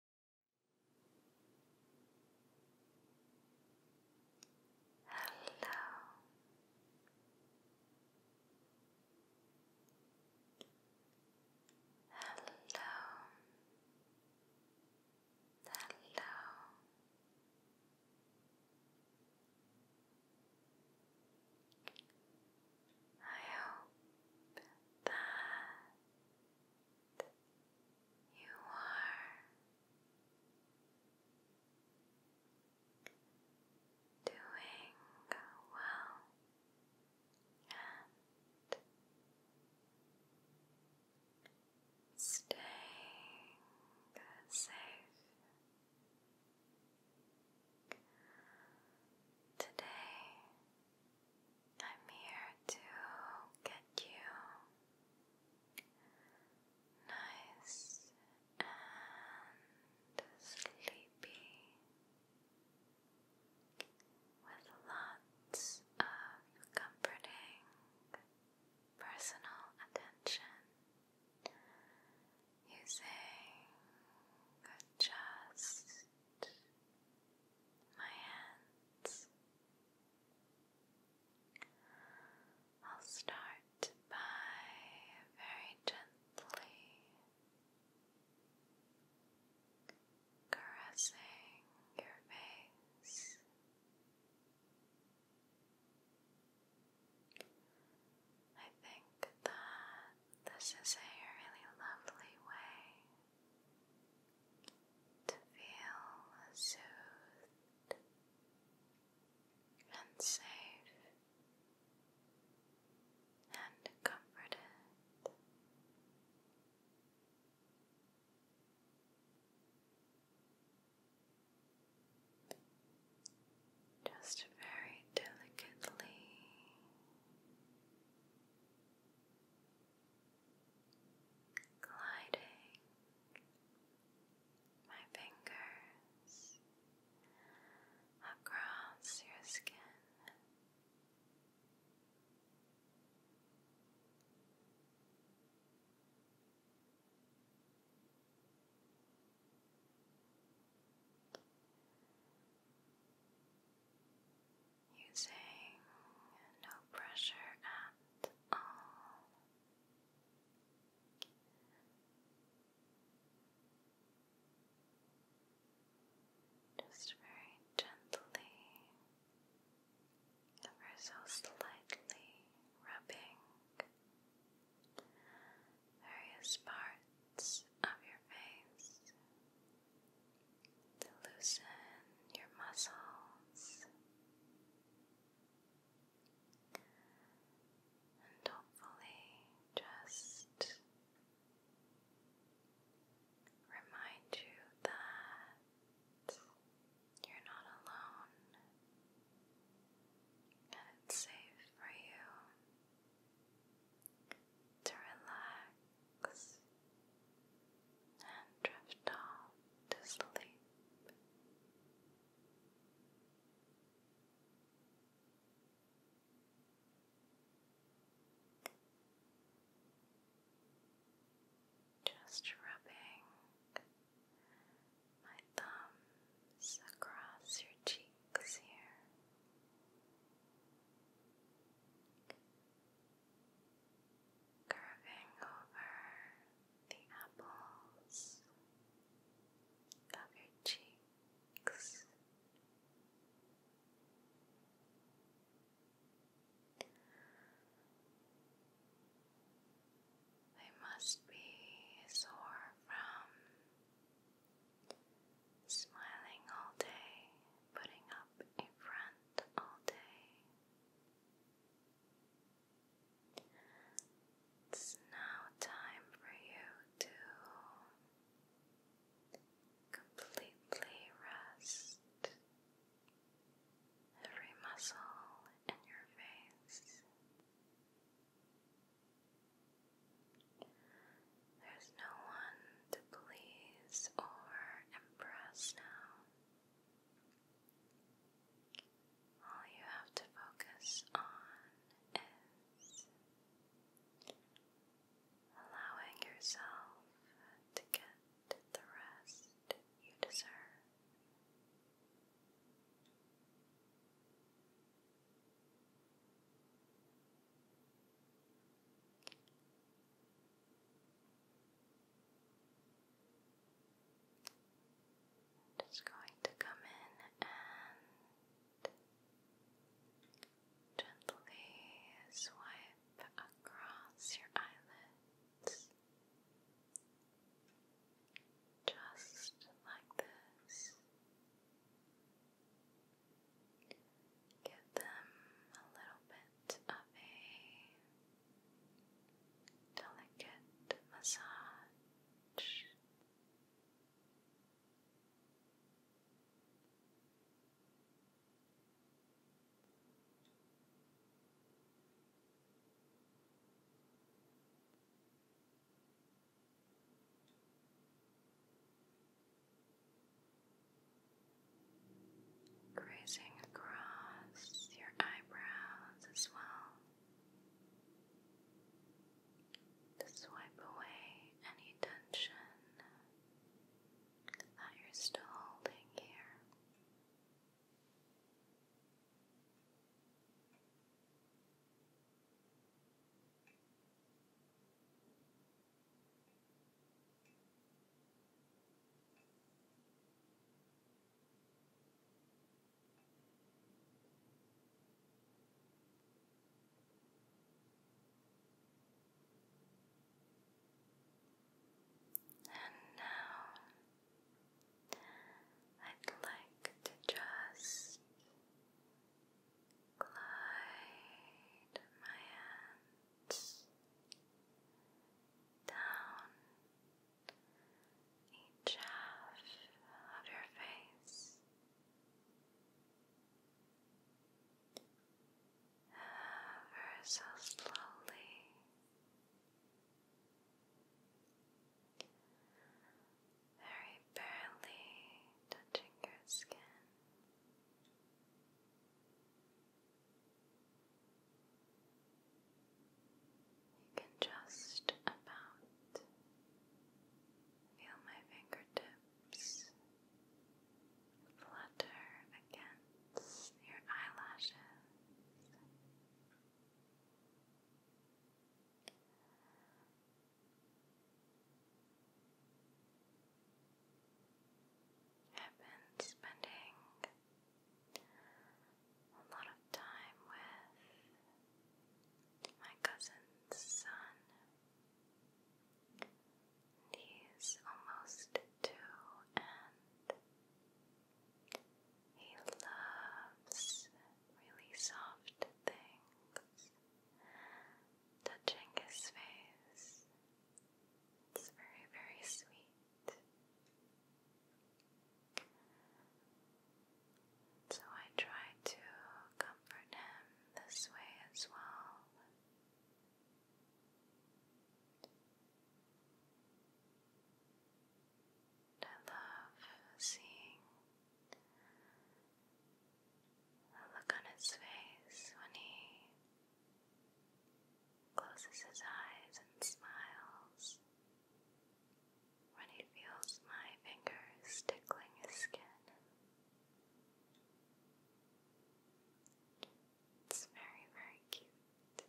Hello. Hello. Hello. I hope that you are doing well and staying safe. Today I'm here to get you nice and sleepy with lots of comforting personal attention using just my hands. I'll start by very gently caressing your face. I think that this is a really lovely way to feel soothed and safe and comforted. Just very delicately gliding my fingers across your skin using no pressure at all. Just very gently, ever so slightly rubbing various parts of your face to loosen your muscles and hopefully just remind you that you're not alone and it's safe for you to relax relax and drift off to sleep. Just rubbing my thumbs across your cheeks here curving over the apples of your cheeks. They must be sore from smiling all day, putting up a front all day. It's now time for you to completely rest every muscle in your face. There's no one to please or impress now. All you have to focus on is allowing yourself to get the rest you deserve. Just going to come in and gently swipe across your eyelids, just like this give them a little bit of a delicate massage. Grazing across your eyebrows as well to swipe away any tension that you're still holding here. And now I'd like to just glide my hand down each half of your face. Ever so slowly. Very barely touching your skin. You can just about feel my fingertips flutter against your eyelashes. I've been spending a lot of time with my cousin's son. he's almost two, and he loves really soft things. Touching his face it's very, very sweet. So I try to comfort him this way as well. I love seeing the look on his face when he closes his eyes and smiles, when he feels my fingers tickling his skin. It's very, very cute.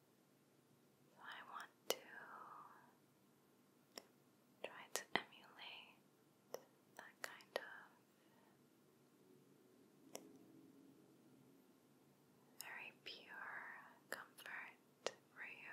So I want to try to emulate that kind of very pure comfort for you.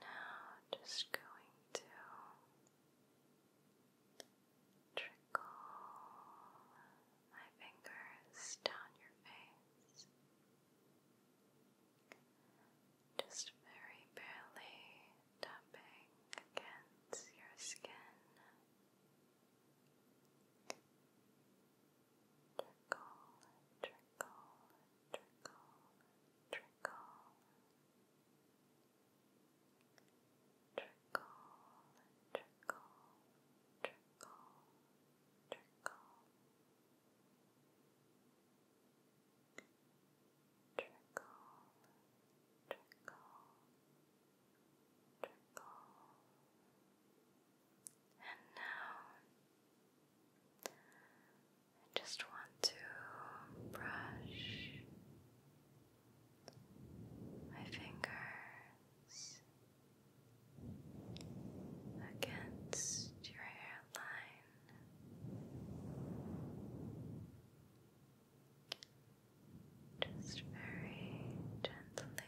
now just going to trickle my fingers down your face. Just very barely tapping against your skin. Trickle, trickle trickle, trickle, trickle, trickle, trickle, trickle, trickle, trickle, trickle, And now I just want to brush my fingers against your hairline. Just very gently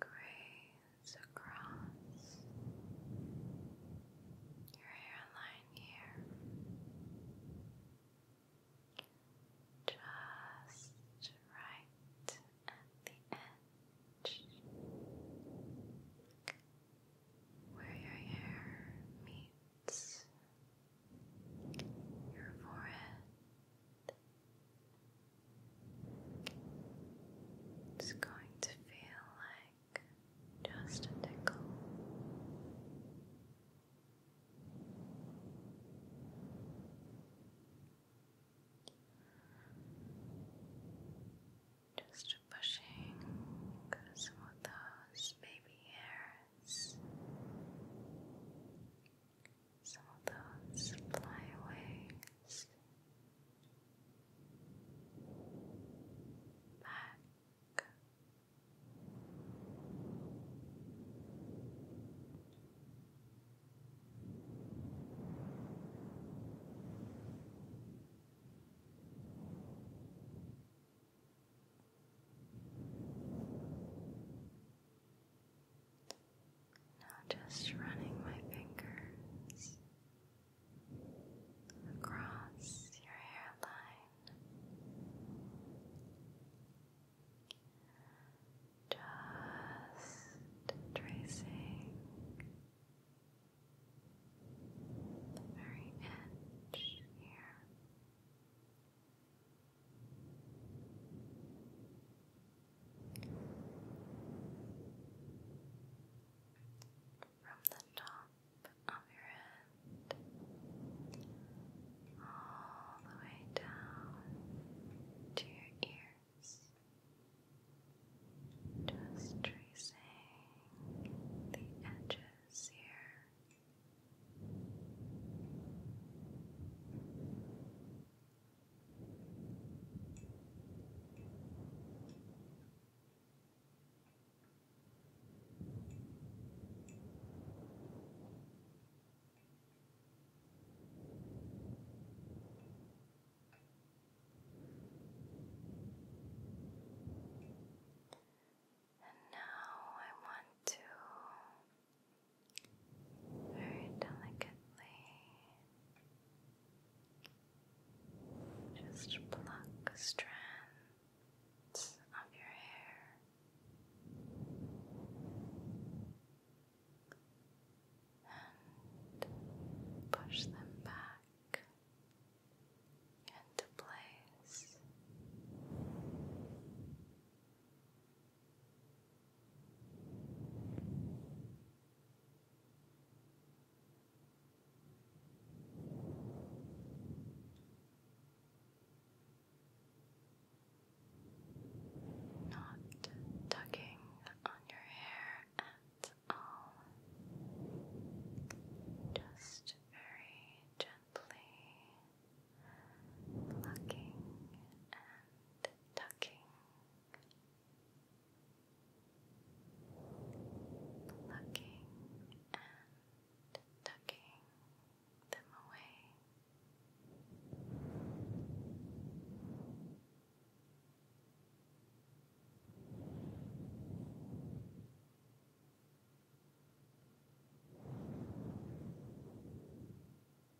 graze across your hairline here. Just right at the edge where your hair meets your forehead it's going to feel like just a tickle. Just pushing some of those baby hairs some of those flyaways back. Now just running my fingers across your hairline. Just tracing the very edge here. From the top of your head all the way down to your ears, just tracing the edges here. And now I want to very delicately. Just pluck strands of your hair. And push them back into place. Not tugging on your hair at all, just very gently plucking and tucking, plucking and tucking them away.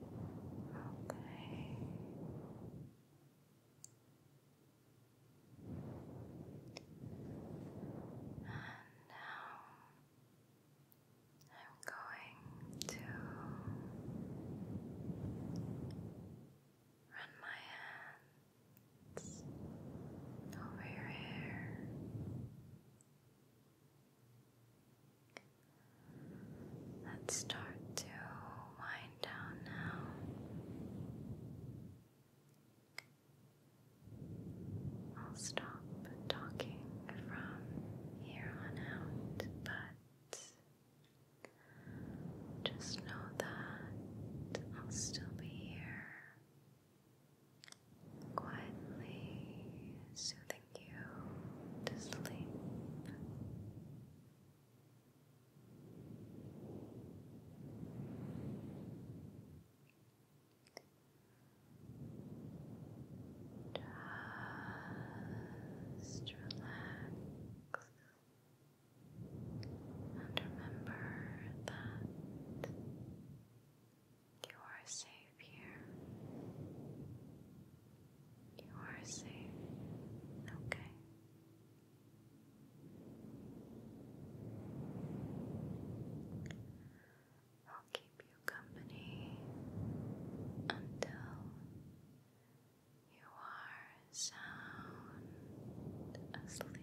Okay. And now I'm going to run my hands over your hair. Let's start to wind down now. I'll stop talking from here on out, but just know that I'll still be here quietly soothing you to sleep. Just relax and remember that you are safe here. You are safe, okay? I'll keep you company until you are sound asleep.